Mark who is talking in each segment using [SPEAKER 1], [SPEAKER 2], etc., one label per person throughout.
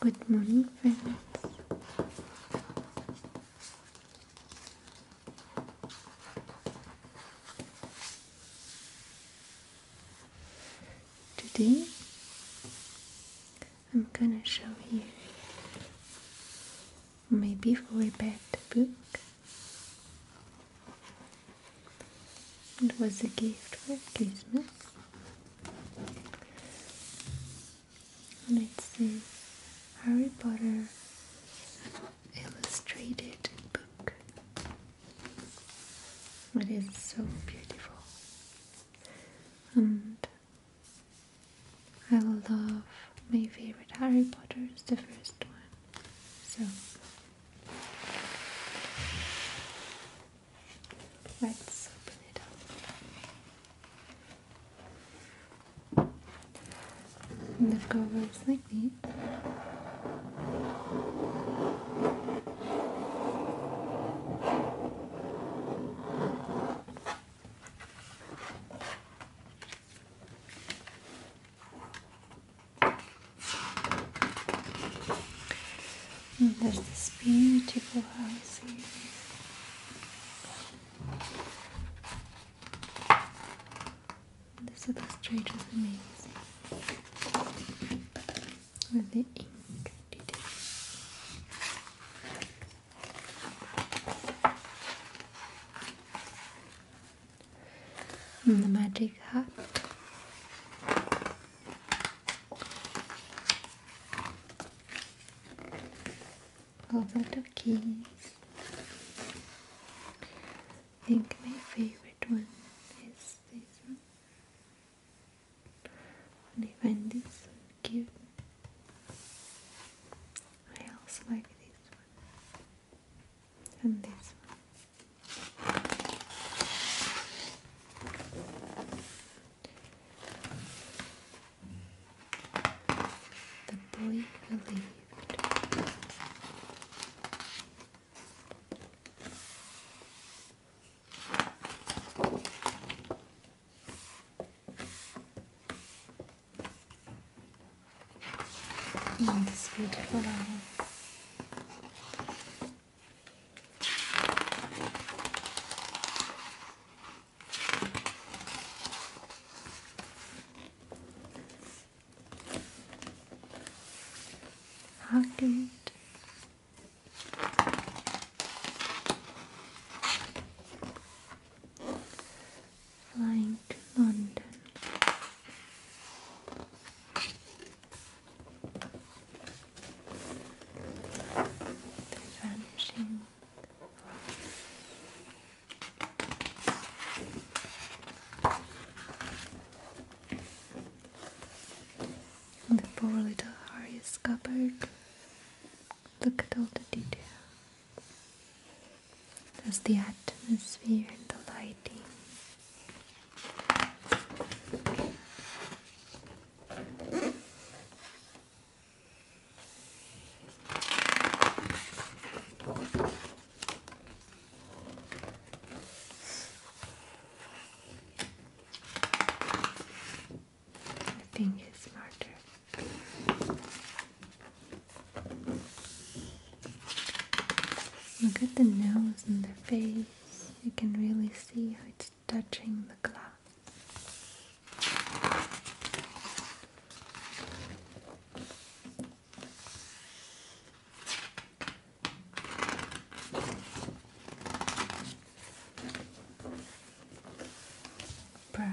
[SPEAKER 1] Good morning, friends. Today, I'm gonna show you my before bed book. It was a gift for Christmas. And it says Harry Potter Illustrated Book. It is so beautiful. And I love my favorite Harry Potter is the first one. So Let's open it up. And the cover is like this. And there's this beautiful house here. This illustrator is amazing. With the ink detail and mm, the magic hat. All the little keys. I think my favorite one is this one. And I find this cute. I also like this one and this one. The boy believed in oh, this beautiful hour. How good flying to London. The vanishing the poor little Harry is Look at all the detail. That's the atmosphere and the lighting. I think it's smarter. Look at the nose and the face. You can really see how it's touching the glass. Proud,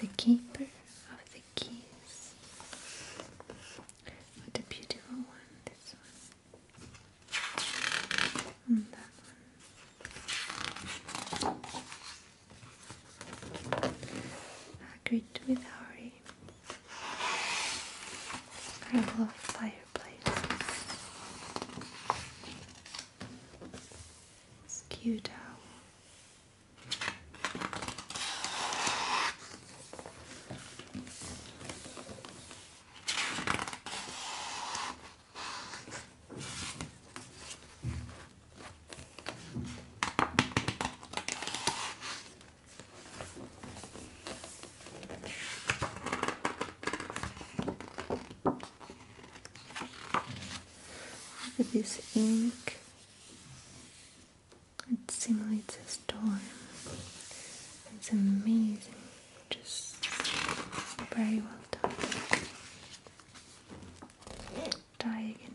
[SPEAKER 1] The keeper of the keys. What a beautiful one, this one. And that one agreed with Harry. I love fireplaces. It's cute how Look at this ink. It simulates a storm. It's amazing. Just very well done. Die again.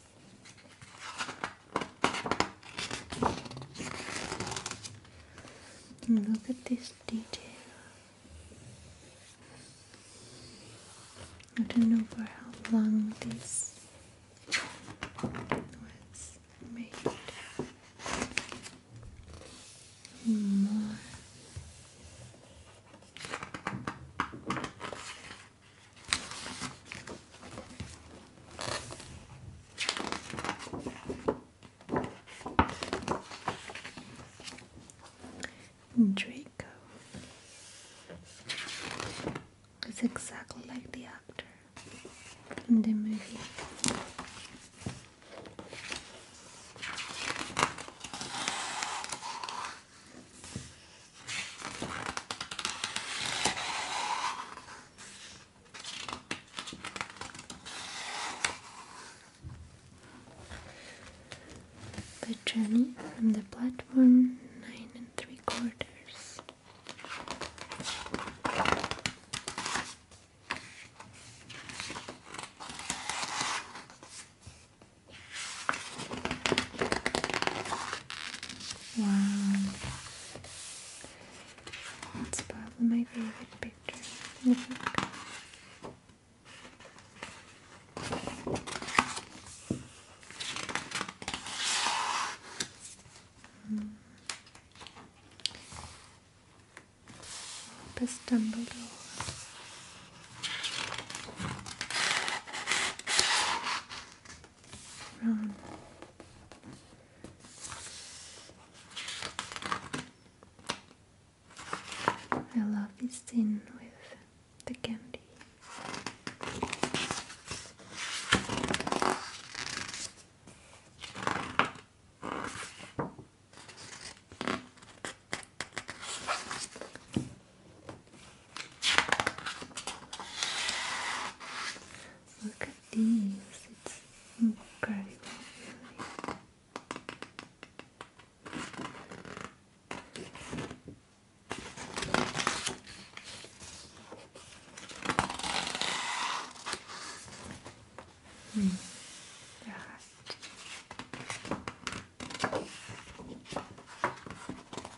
[SPEAKER 1] look at this detail. I don't know for how long this was made. More. Hmm. Draco is exactly like the actor in the movie. The journey from the platform nine and three quarters. Wow. That's probably my favorite picture. I think. I love this tin with the candy. Look at these, it's incredible. Really. Mm,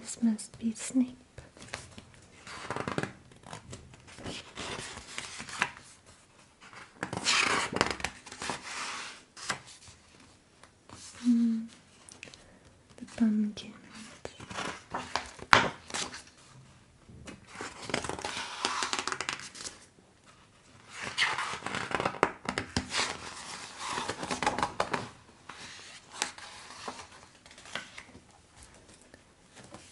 [SPEAKER 1] This must be Snape. Hmm. the pumpkin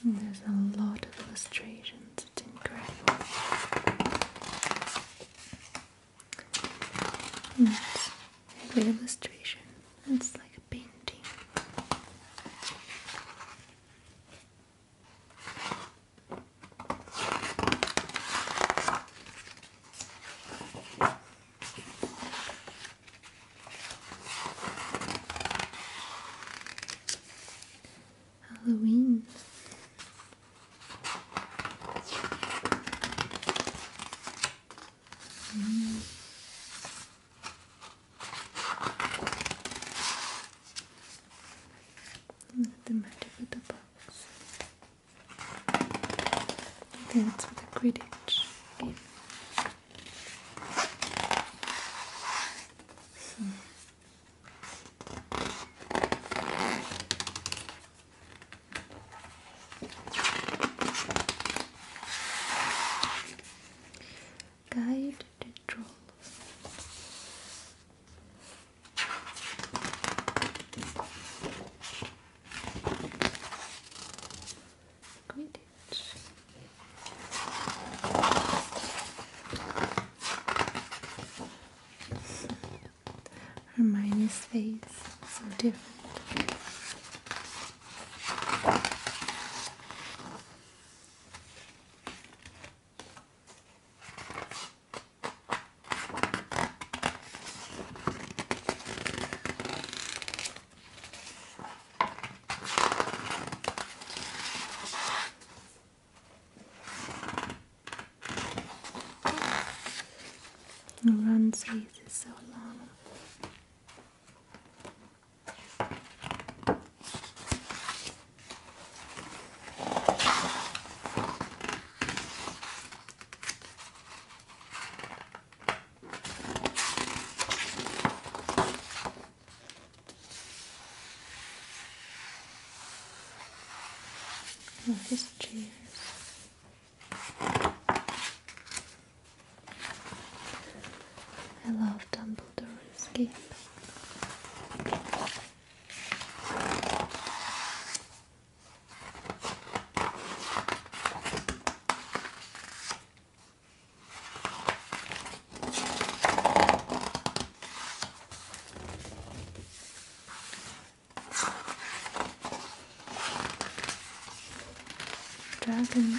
[SPEAKER 1] there's a lot of illustrations, it's incredible. every illustration, it's like a painting. Halloween. Mm. Nothing matter with the box. I think that's what the Quidditch game. Hmm. Guide the trolls. Quidditch. Hermione's face, so different. The run space is so long. Oh, here's the I love Dumbledore's game. Dragon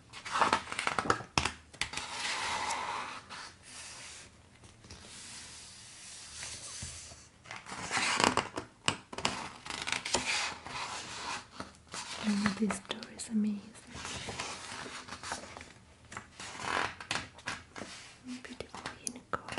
[SPEAKER 1] this door is amazing. Beautiful unicorn.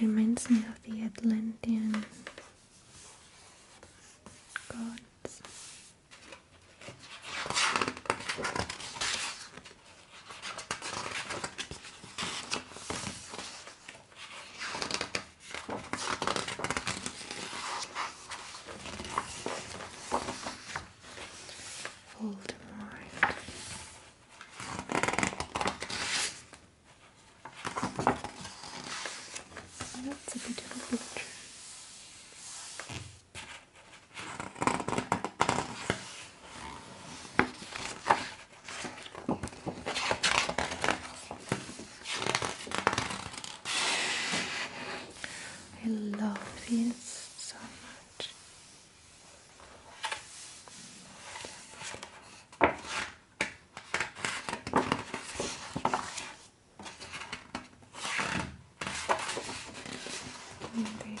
[SPEAKER 1] reminds me of the Atlantean gods. Voldemort. Oh, that's a beautiful picture. I love this so much. Indeed.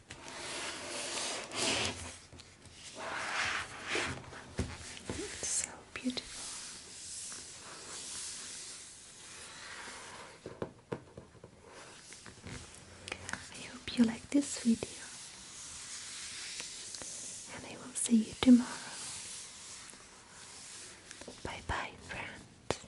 [SPEAKER 1] It's so beautiful. I hope you like this video, and I will see you tomorrow. Bye bye, friends.